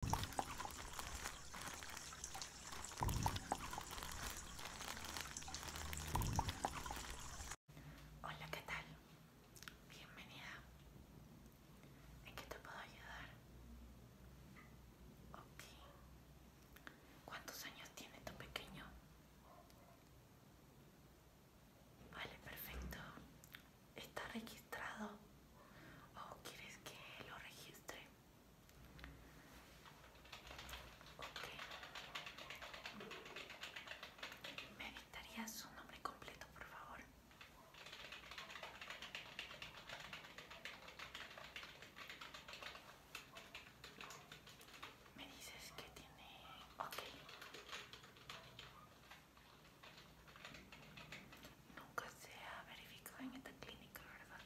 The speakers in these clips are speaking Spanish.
Hola, ¿qué tal? Bienvenida. ¿En qué te puedo ayudar? ¿Cuántos años tiene tu pequeño? Vale, perfecto está registrado o oh, quieres que lo registre me dictaría su nombre completo por favor me dices que tiene ok Nunca se ha verificado en esta clínica, ¿verdad?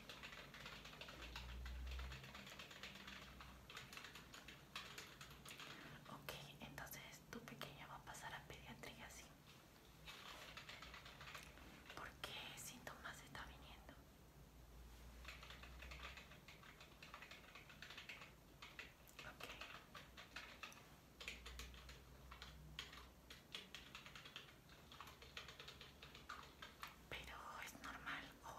Ok, entonces tu pequeña va a pasar a pediatría, así. ¿Por qué síntomas está viniendo? Ok, pero es normal o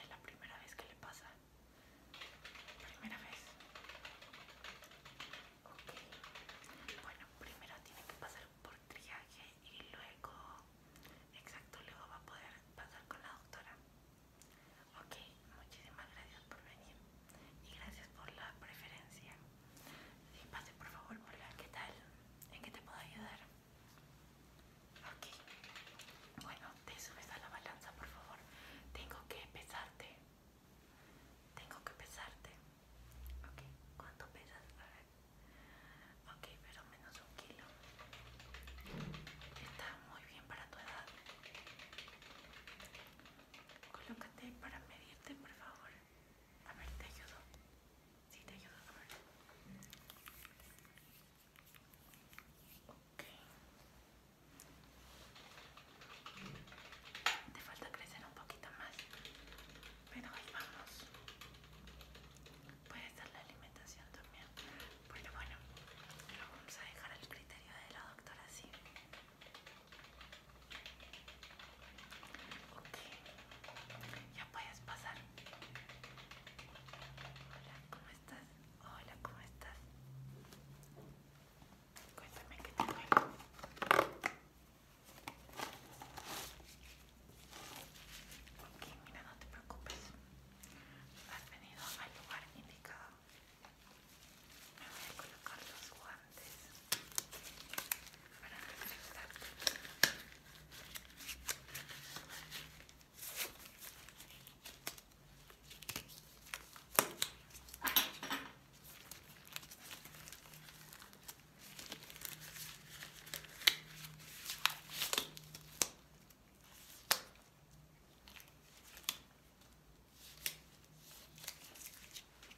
es la primera vez que le pasa. Primera vez. Ok. Bueno, primero tiene que pasar por triaje y luego, exacto, luego va a poder pasar con la doctora. Ok, muchísimas gracias por venir y gracias por la preferencia y por favor, hola ¿qué tal? ¿En qué te puedo ayudar? Ok. Bueno, te subes a la balanza, por favor. Tengo que pesarte. Tengo que pesarte. Ok, ¿cuánto pesas? A ver. Ok, pero menos un kilo. Está muy bien para tu edad. Colócate para medir por favor. A ver, te ayudo. Sí, te ayudo. A ver. Ok. Te falta crecer un poquito más. Pero ahí vamos. Puede estar la alimentación también. pero bueno, lo vamos a dejar al criterio de la doctora, sí. Ok, ya puedes pasar. Hola, ¿cómo estás? Hola, ¿cómo estás? Cuéntame qué te cuento. Ok, mira, no te preocupes. Has venido al lugar indicado. voy a colocar los guantes para desinfectar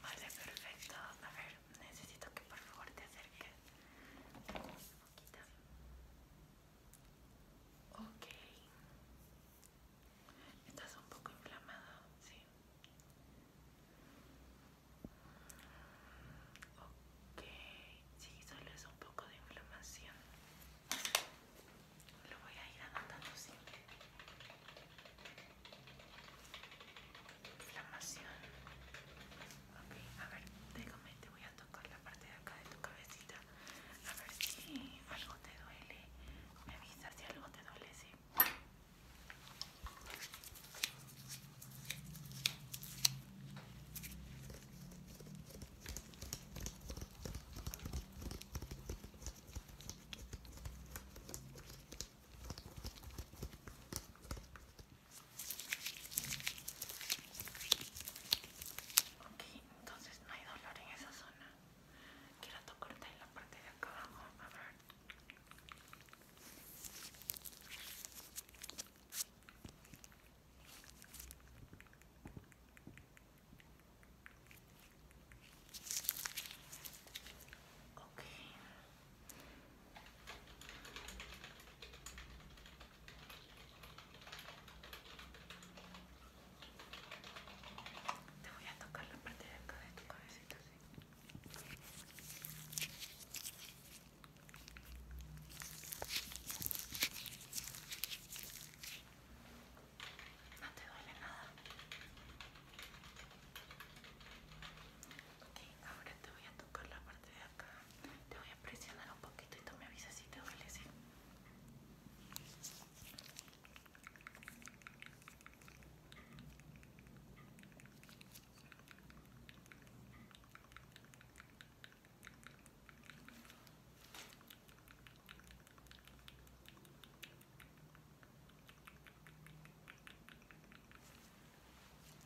Vale, perfecto. A ver, necesito que por favor te acerques un poquito. Ok. Estás un poco inflamado, sí. Ok, sí, solo es un poco de inflamación. Lo voy a ir anotando siempre. Inflamación. Ok, a ver, déjame, te voy a tocar la parte de acá de tu cabecita. A ver si algo te duele. Me avisas si algo te duele, sí. Ok, entonces no hay dolor en esa zona. Quiero tocarte en la parte de acá abajo, a ver. Ok. Te voy a tocar la parte de acá de tu cabecita, sí. No te duele nada. Ok, ahora te voy a tocar la parte de acá. Te voy a presionar un poquito y tú me avisas si te duele, ¿sí?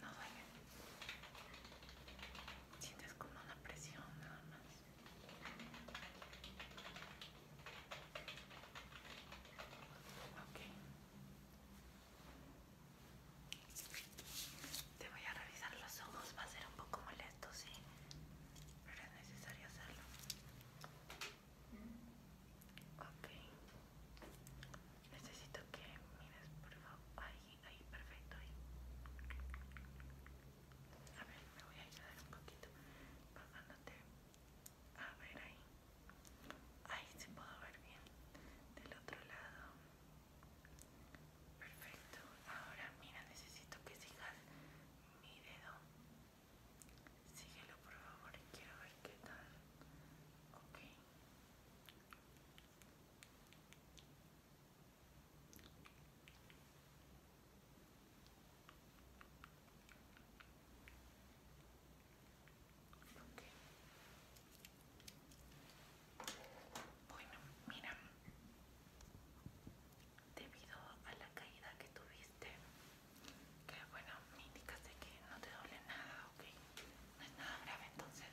No duele. Sientes como una presión nada más. Ok. Te voy a revisar los ojos, va a ser un poco molesto, ¿sí? pero es necesario hacerlo. Ok, necesito que mires, por favor. Ahí, ahí, perfecto. Ahí. A ver, me voy a ayudar un poquito bajándote. A ver, ahí. Ahí se puedo ver bien. Del otro lado. Perfecto. Ahora mira, necesito que sigas mi dedo. Síguelo por favor, quiero ver qué tal. Ok. Bueno, mira, debido a la caída que tuviste que bueno me indicaste que no te duele nada ok no es nada grave entonces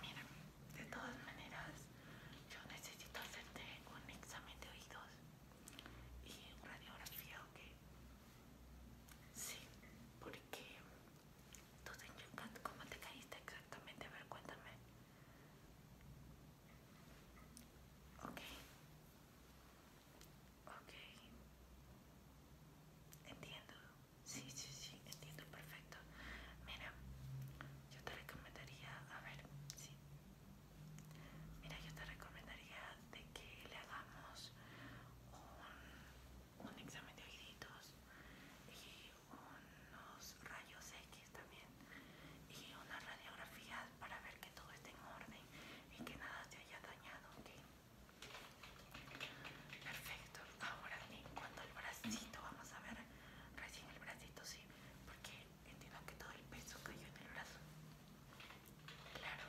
mira de todas maneras yo necesito hacerte un examen de oídos y radiografía ok sí porque entonces, ¿cómo te caíste exactamente? A ver, cuéntame. Ok. Ok. Entiendo. Sí, sí, sí, entiendo perfecto. Mira, yo te recomendaría, a ver, sí. Mira, yo te recomendaría de que le hagamos un, examen de oíditos unos rayos X también y una radiografía para ver que todo esté en orden y que nada te haya dañado. Perfecto. Ahora en cuanto al bracito, vamos a ver recién el bracito, sí, porque entiendo que todo el peso cayó en el brazo. Claro.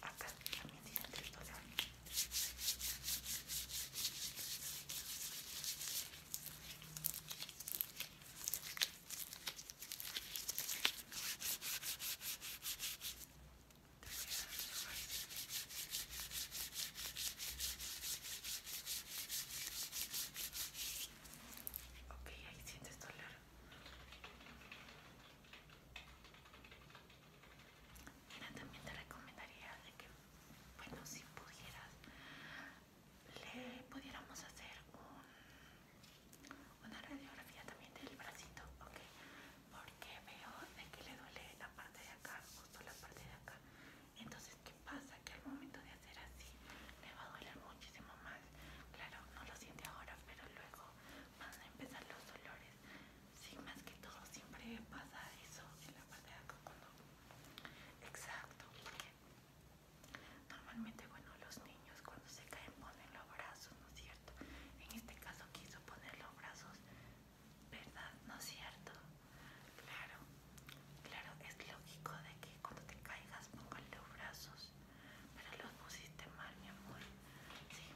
Acá también tiene triptofano. Ok, ahí sientes dolor y también te recomendaría que, bueno, si pudieras, le pudiéramos hacer una radiografía también del bracito, ¿ok? Porque veo de que le duele la parte de acá, justo la parte de acá. Entonces, ¿qué pasa? Que al momento de hacer así, le va a doler muchísimo más. Claro, no lo siente ahora, pero luego van a empezar los dolores. Sí, más que todo siempre pasa eso en la parte de cuando... Exacto, normalmente, bueno, los niños cuando se caen ponen los brazos, ¿no es cierto? En este caso quiso poner los brazos, ¿verdad? ¿No es cierto? Claro, claro, es lógico de que cuando te caigas pongan los brazos pero lo pusiste mal, mi amor. Sí,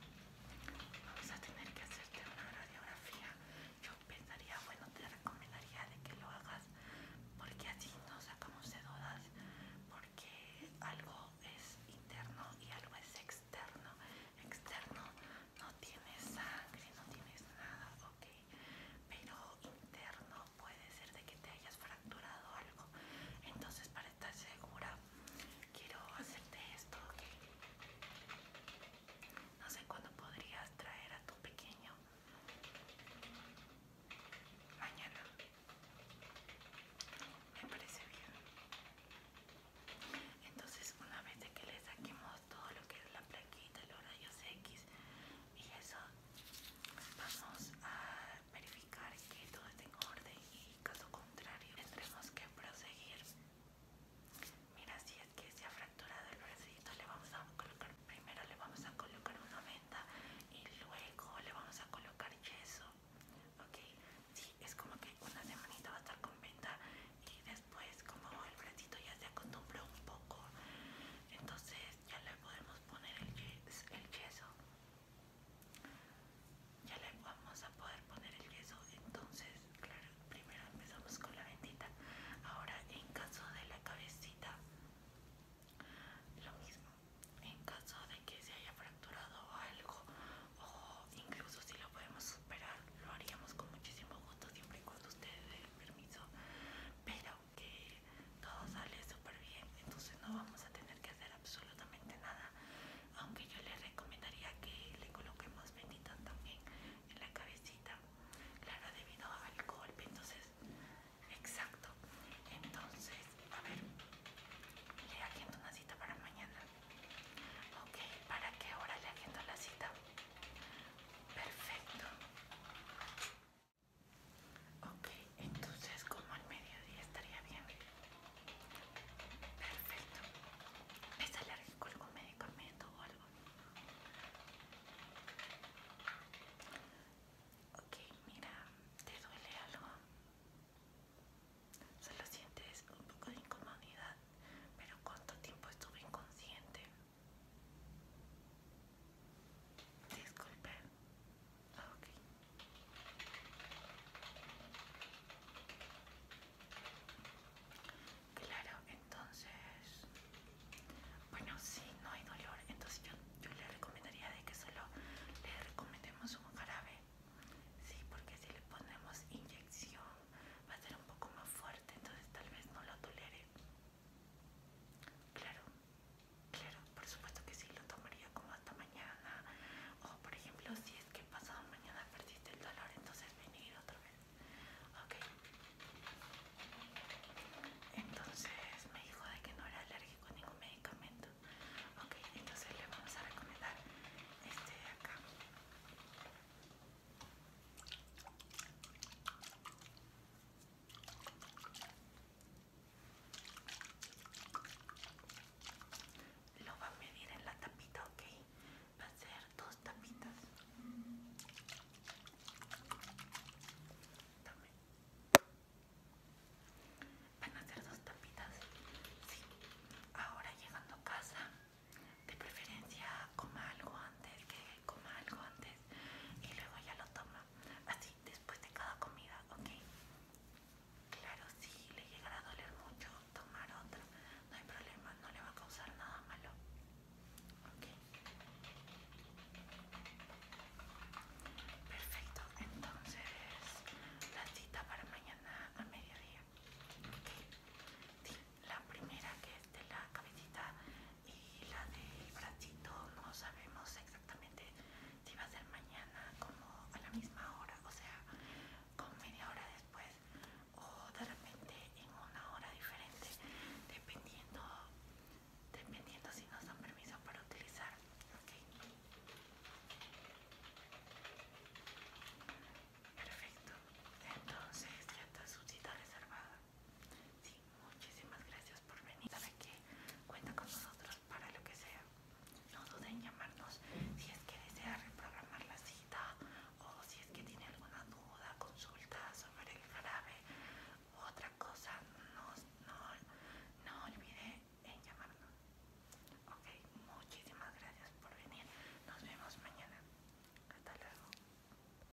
vamos a tener que hacerte una radiografía. Yo pensaría, bueno, te recomendaría de que lo hagas, porque así no sacamos de dudas, porque algo es interno y algo es externo. Externo no tienes sangre, no tienes nada, ok, pero interno puede ser de que te hayas fracturado algo. Entonces, para estás segura? Quiero hacerte esto, No sé cuándo podrías traer a tu pequeño. Mañana. Me parece bien. Entonces, una vez de que le saquemos todo lo que es la plaquita, los rayos X y eso, vamos a verificar que todo esté en orden y caso contrario tendremos que proseguir. Mira, si es que se ha fracturado el bracito, le vamos a colocar, primero le vamos a colocar una venda y luego le vamos a colocar yeso. Ok, sí, es como que una semanita va a estar con venda y después como el bracito ya se acostumbró un poco, entonces ya le podemos poner el, el yeso. Ya le vamos a poder poner el yeso, entonces, claro, primero empezamos con la bendita. Ahora, en caso de la cabecita, lo mismo. En caso de que se haya fracturado algo, o incluso si lo podemos superar, lo haríamos con muchísimo gusto, siempre y cuando ustedes den permiso. Pero que todo sale súper bien entonces no vamos a tener que hacer absolutamente nada aunque yo les recomendaría que le coloquemos venitas también en la cabecita claro debido al golpe entonces exacto entonces a ver le agendo una cita para mañana ok para qué hora le agendo la cita perfecto Ok, entonces como al mediodía estaría bien. Perfecto. ¿Es alérgico algún medicamento o algo? Ok, mira, ¿te duele algo? Solo sientes un poco de incomodidad, pero ¿cuánto tiempo estuve inconsciente? Disculpe. Claro, entonces, bueno, si no hay dolor, entonces yo, yo le recomendaría de que solo le recomendemos un jarabe, sí, porque si le ponemos inyección va a ser un poco más fuerte, entonces tal vez no lo tolere. Claro, Claro, por supuesto que sí, lo tomaría como hasta mañana. O por ejemplo, si es que pasado mañana perdiste el dolor, entonces venir otra vez. Ok. Entonces me dijo de que no era alérgico a ningún medicamento. Ok, entonces le vamos a recomendar este de acá. Lo va a medir en la tapita, ok. Va a ser dos tapitas. Van a ser dos tapitas. Sí. Ahora llegando a casa, de preferencia coma algo antes, que coma algo antes y luego ya lo toma, así después de cada comida, ¿ok? Claro, si le llegará a doler mucho tomar otra, no hay problema, no le va a causar nada malo, Perfecto, entonces la cita para mañana a mediodía, ¿ok? la primera que es de la cabecita y la del bracito no sabemos exactamente si va a ser mañana como a la misma hora, o sea, con media hora después o de repente en una hora diferente, dependiendo, dependiendo si nos dan permiso para utilizar. Perfecto, entonces trata su cita reservada. Sí, muchísimas gracias por venir. Sabe que cuenta con nosotros para lo que sea. No duden en llamarnos si es que desea reprogramar la cita o si es que tiene alguna duda, consulta sobre el jarabe O otra cosa. No, no, no olvide en llamarnos. Ok, muchísimas gracias por venir. Nos vemos mañana. Hasta luego.